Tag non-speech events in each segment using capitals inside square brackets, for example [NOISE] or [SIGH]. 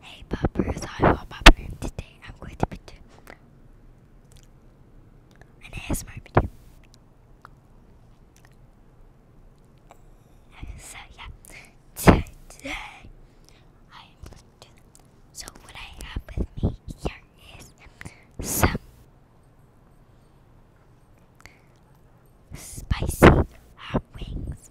Hey poppers, I am Popper and today I'm going to be doing an ASMR video. so yeah, today I am going to do So what I have with me here is some spicy hot wings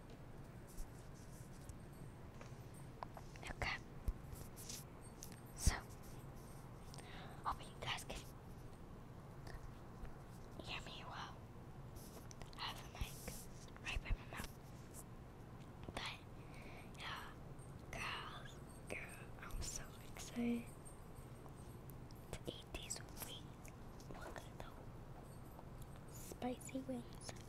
Okay. So, hoping you guys can hear me well. I have a mic right by my mouth. But, yeah, girls, girl, I'm so excited to eat these wings. Look at those spicy wings.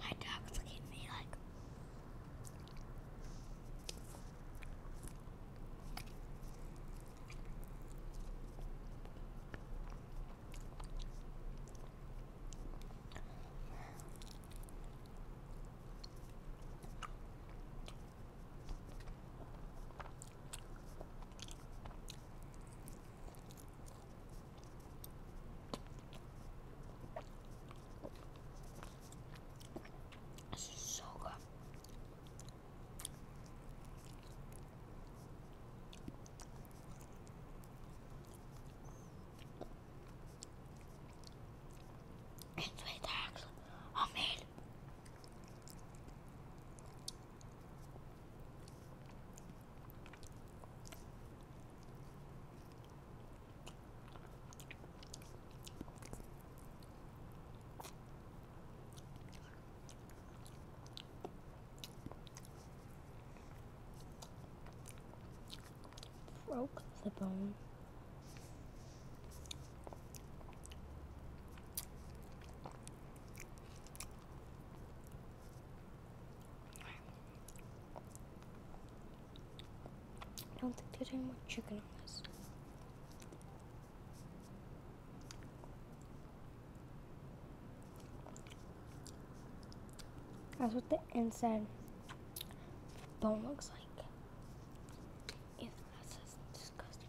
My dog's looking at me like. This is so good. It's with eggs. Oh man broke the bone. I don't think there's any more chicken on this. That's what the inside bone looks like. That's just disgusting.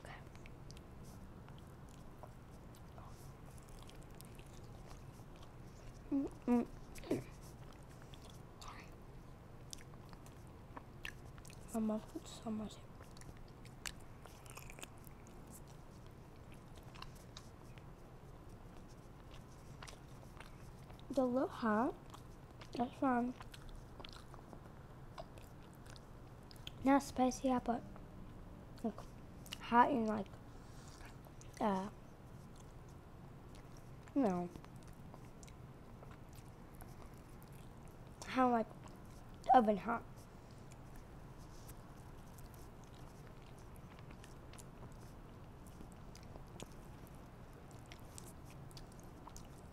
Okay. Mm -mm. Sorry. My mom put so much. The little That's fine. Not spicy, yeah, but hot and like no uh, you how like oven hot.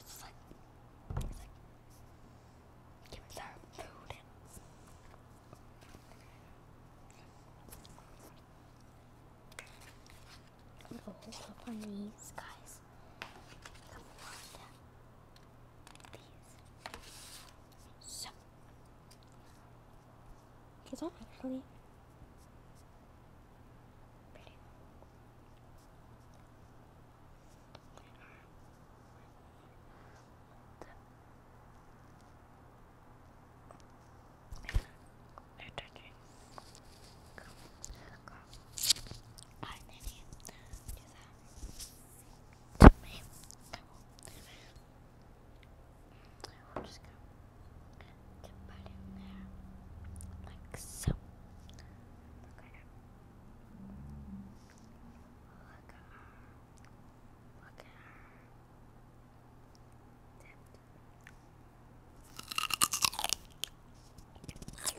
It's like, it's food hold up on these guys. Come on down. These. So. It's actually. Pretty. They're touching. Go, go. Alright, Nanny, do that. To me. Come on. We'll just go to put in there, like so. Look at her. Look at her. Look at her. Look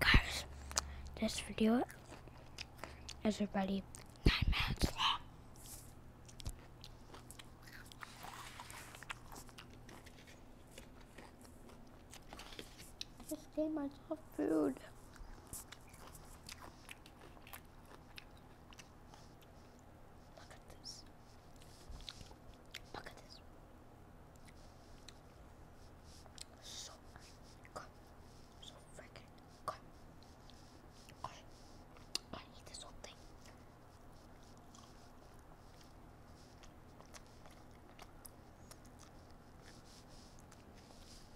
Guys, this video is already nine minutes long. I just gave myself food. Look at this. Look at this. So good. So freaking good. I, I this whole thing.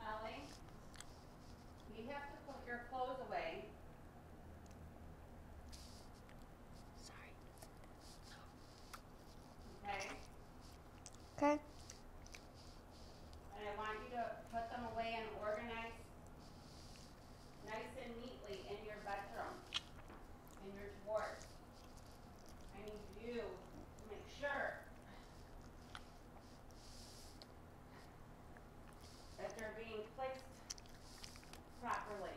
Ollie, you have to put your clothes away. Sorry. Okay? Okay. And I want you to put them away and organize nice and neatly in your bedroom, in your drawers. I need you to make sure that they're being placed properly.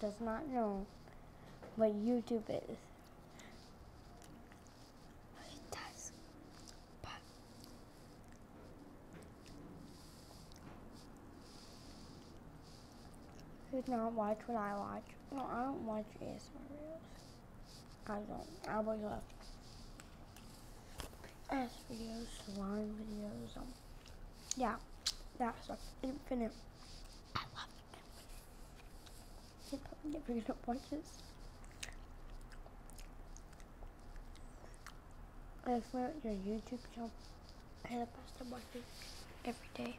does not know what YouTube is. He does, not watch what I watch. No, I don't watch ASMR videos. I don't. I would love ass videos, salon videos, um, yeah, that stuff, infinite. I love you're probably gonna watch this. I swear your YouTube channel and the person watching every day.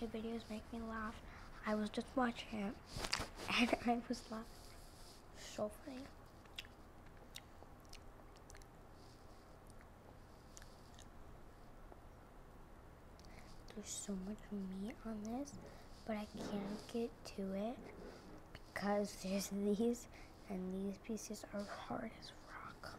Your videos make me laugh. I was just watching it and [LAUGHS] I was laughing. So funny. There's so much meat on this, but I can't get to it because there's [LAUGHS] these, and these pieces are hard as rock.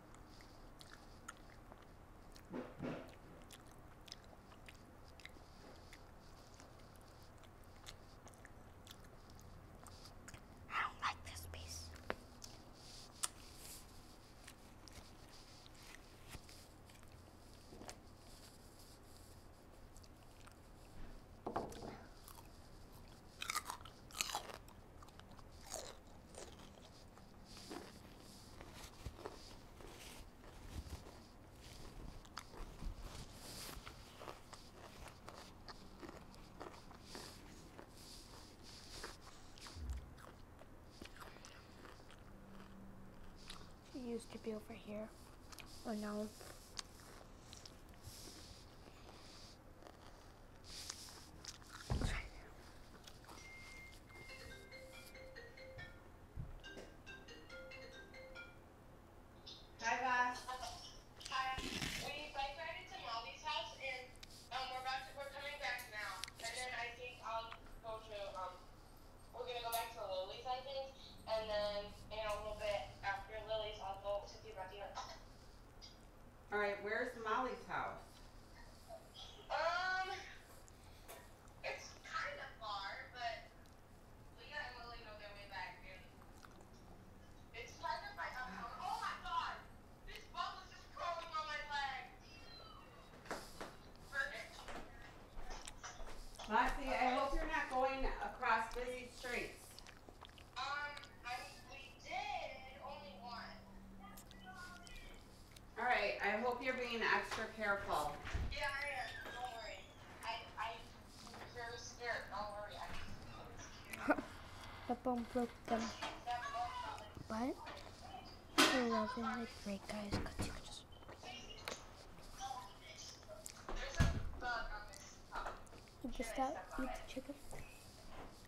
I don't like this piece. She used to be over here, or oh, now we to to house and um, And we're coming back back now. then then I I'll I think I'll go um, Lily's Lily's, a little bit after All right, where's Molly's house? Um, it's kind of far, but Leah and Lily know their way back, it's kind of my upcoming. Oh my god! This bubble is just crawling on my leg! Perfect. I hope you're not going across busy streets. Um, I, we did, only one. All right. I hope you're being extra careful. Yeah, I am. Don't worry. I, I'm very scared. Don't worry. [LAUGHS] the bone broke them. But I loving it. I guys. Cause you just you just got eat the chicken.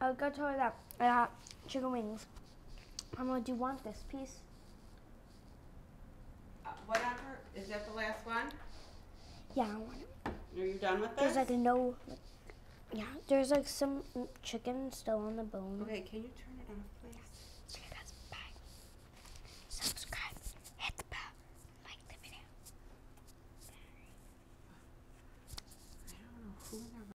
I'll go tell her that uh, chicken wings. I'm gonna do one this piece. Uh, whatever. Is that the last one? Yeah, I want it. Are you done with this? There's like no. Yeah, there's like some chicken still on the bone. Okay, can you turn it off, please? So bye. Subscribe, hit the bell, like the video. I don't know who